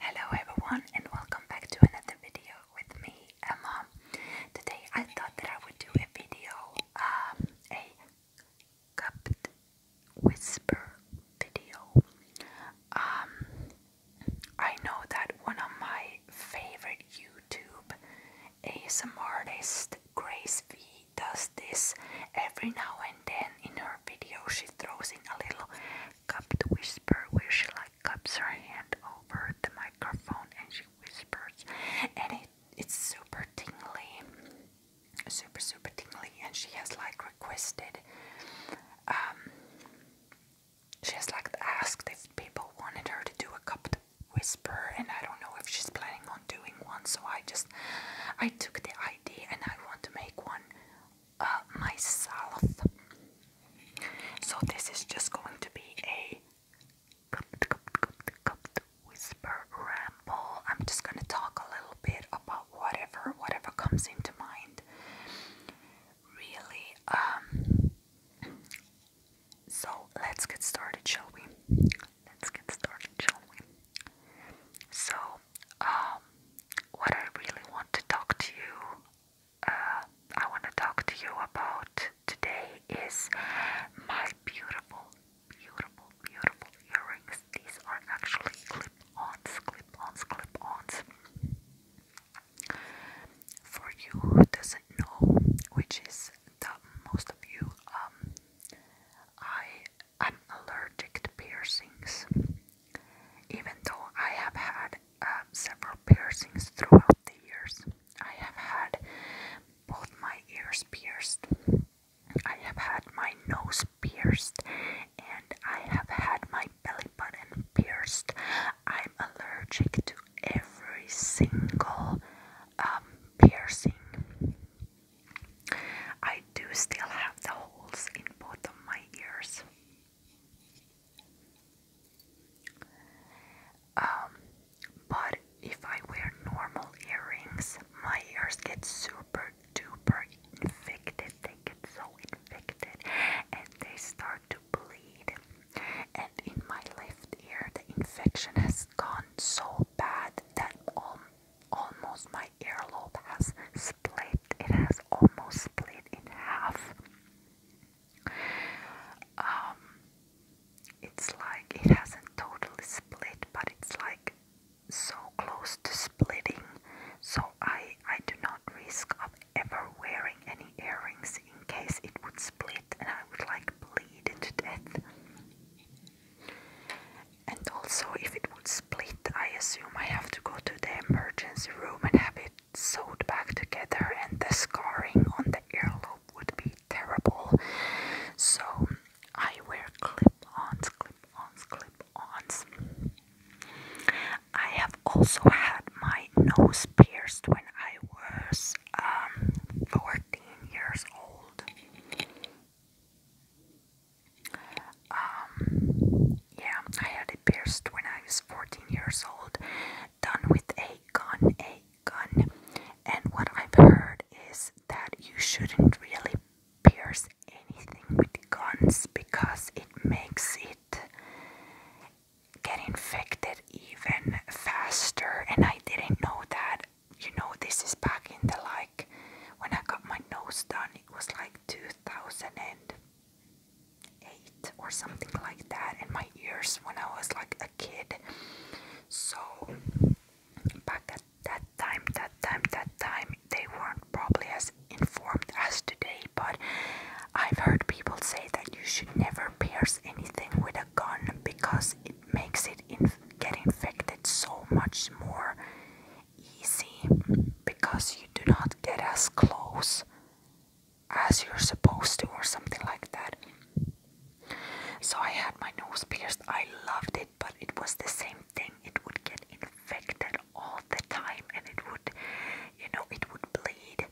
Hello everyone and welcome back to another video with me, Emma. Today I thought that I would do a video, um, a cupped whisper video. Um, I know that one of my favorite YouTube ASMR Grace V, does this every now and then in her video. She throws in a little Cup cupped whisper where she like cups her hand over the microphone and she whispers and it, it's super tingly super super tingly and she has like requested um she has like asked if people wanted her to do a cup cupped whisper and I don't know if she's planning on doing one so I just I took the idea and I want to make one uh, myself. So this is just going to be a whisper ramble. I'm just going to talk a little bit about whatever, whatever comes into mind. Really, um, so let's get started, shall we? Let's get started, shall we? So, um, what I really want to talk to you, uh, I want to talk to you about today is my beautiful, beautiful, beautiful earrings. These are actually clip-ons, clip-ons, clip-ons. For you who doesn't know, which is the most of you, um, I I'm allergic to piercings, even though I have had um, several piercings throughout the years. I have had both my ears pierced, I have had my nose pierced, and I have had my belly button pierced. I'm allergic to every single um, piercing I do still have the holes in both of my ears. Um, but if I wear normal earrings, my ears get super duper infected. They get so infected and they start to bleed. And in my left ear, the infection has gone so bad that um, almost my earlobe has split. It has almost split in half. Um, it's like it hasn't totally split, but it's like so close to splitting. So I I do not risk of ever wearing any earrings in case it would split and I would like bleed to death. And also, if it would split, I assume I have to go to the emergency room and have it sewed back together, and the scarring on the earlobe would be terrible. So, I wear clip ons, clip ons, clip ons. I have also had my nose pierced when I was um, 15 years old. Um, yeah, I had it pierced when I was 14 years old, done with a gun, a gun. And what I've heard is that you shouldn't really pierce anything with guns because it makes it get infected even faster and I didn't know that you know this is back in the like when I got my nose done it was like 2008 or something like that in my ears when I was like a kid so back at that time that time that time they weren't probably as informed as today but I've heard people say that you should never pierce anything with because it makes it get infected so much more easy because you do not get as close as you're supposed to or something like that. So I had my nose pierced. I loved it, but it was the same thing. It would get infected all the time and it would you know it would bleed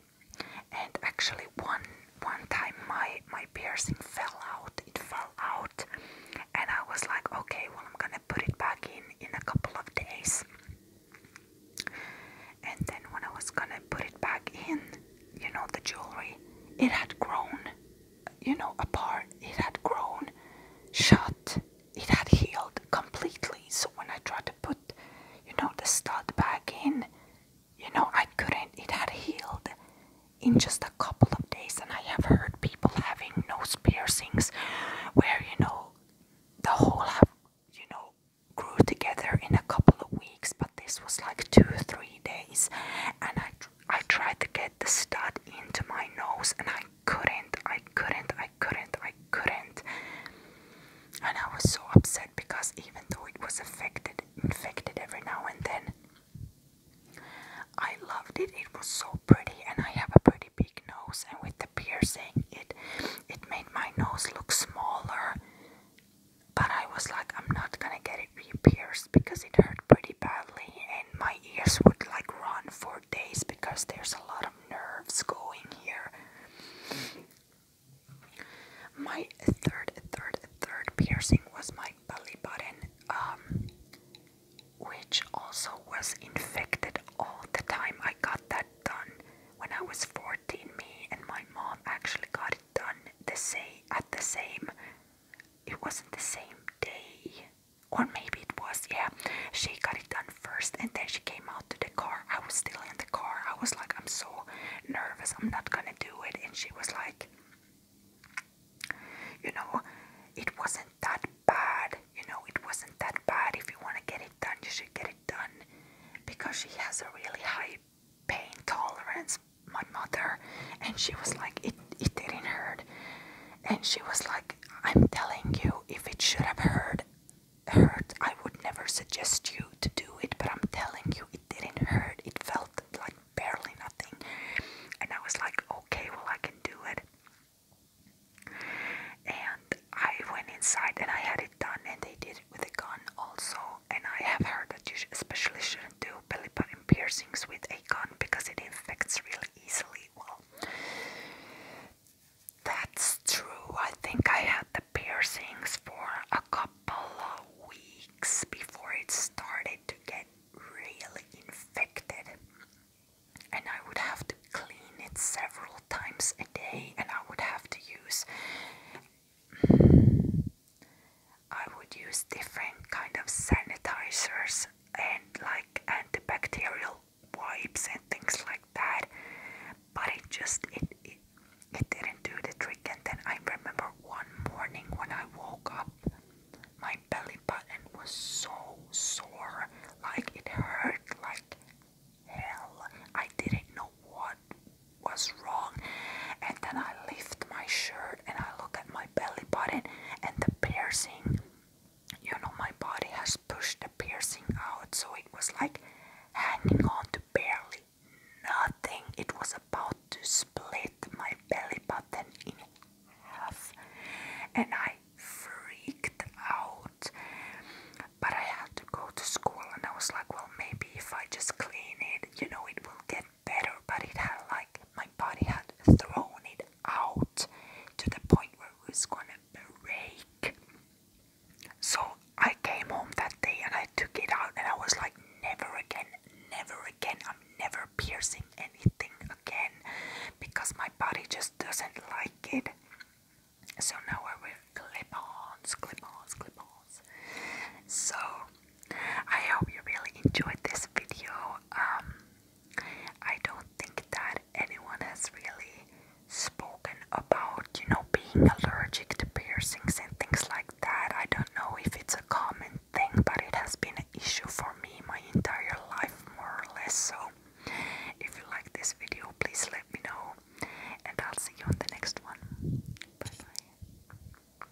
and actually one one time my my piercing fell out it fell out and I was like okay well I'm gonna put it back in in a couple of days and then when I was gonna put it back in you know the jewelry it had grown you know apart it had grown shut it had healed completely so when I tried to put you know, the stud back in. You know, I couldn't, it had healed in just a couple of days. And I have heard people having nose piercings where, you know, the whole you know, grew together in a couple of weeks. But this was like two or three days. And I, I tried to get the stud into my nose and I couldn't, I couldn't, I couldn't, I couldn't and I was so upset because even though it was affected, infected every now and then, I loved it. It was so pretty, and I have a pretty big nose, and with the piercing, it it made my nose look smaller. But I was like, I'm not gonna get it re-pierced because it hurt pretty badly, and my ears would like run for days because there's a lot of nerves going here. My third, third, third piercing was my belly button, um, which also was infected all the time. I got that done when I was 14. Me and my mom actually got it done the same at the same. It wasn't the same day, or maybe it was. Yeah, she got it done first, and then she came out to the car. I was still in the car. I was like, I'm so nervous. I'm not gonna do it. And she was like, you know, it wasn't that bad. You know, it wasn't that bad. If you want to get it done, you should get it done. Because she has a really high pain tolerance, my mother. And she was like, it, it didn't hurt and she was like i'm telling you if it should have hurt hurt i would never suggest you to do it but i'm telling you it didn't hurt it felt like barely nothing and i was like okay well i can do it and i went inside and i had it done and they did it with a gun also and i have heard that you especially shouldn't do belly button piercings with a gun because it infects really easily well that's true. I think I had the piercings for a couple of weeks before it started to get really infected. And I would have to clean it several times a day, and I would have to use. I would use different kind of sanitizers and like antibacterial wipes and things like that but it just it, it it didn't do the trick and then I remember one morning when I woke up my belly button was so sore like it hurt like hell I didn't know what was wrong and then I lift my shirt and I look at my belly button and the piercing you know, my body has pushed the piercing out, so it was like hanging on to barely nothing. It was about to split my belly button in half, and I freaked out. But I had to go to school, and I was like, well, maybe if I just clean it, you know, it will get better, but it had like my body had thrown it out to the point where it was gonna break. So I came home that day and I took it out, and I was like, never again, never again. I'm never piercing anything again because my body just doesn't like it. So now I wear clip ons, clip ons, clip ons. So I hope you really enjoyed this video. Um, I don't think that anyone has really spoken about, you know, being allergic to piercings and things like that. I don't know if it's a common thing, but it has been an issue for me my entire life, more or less. So, if you like this video, please let me know, and I'll see you on the next one. bye.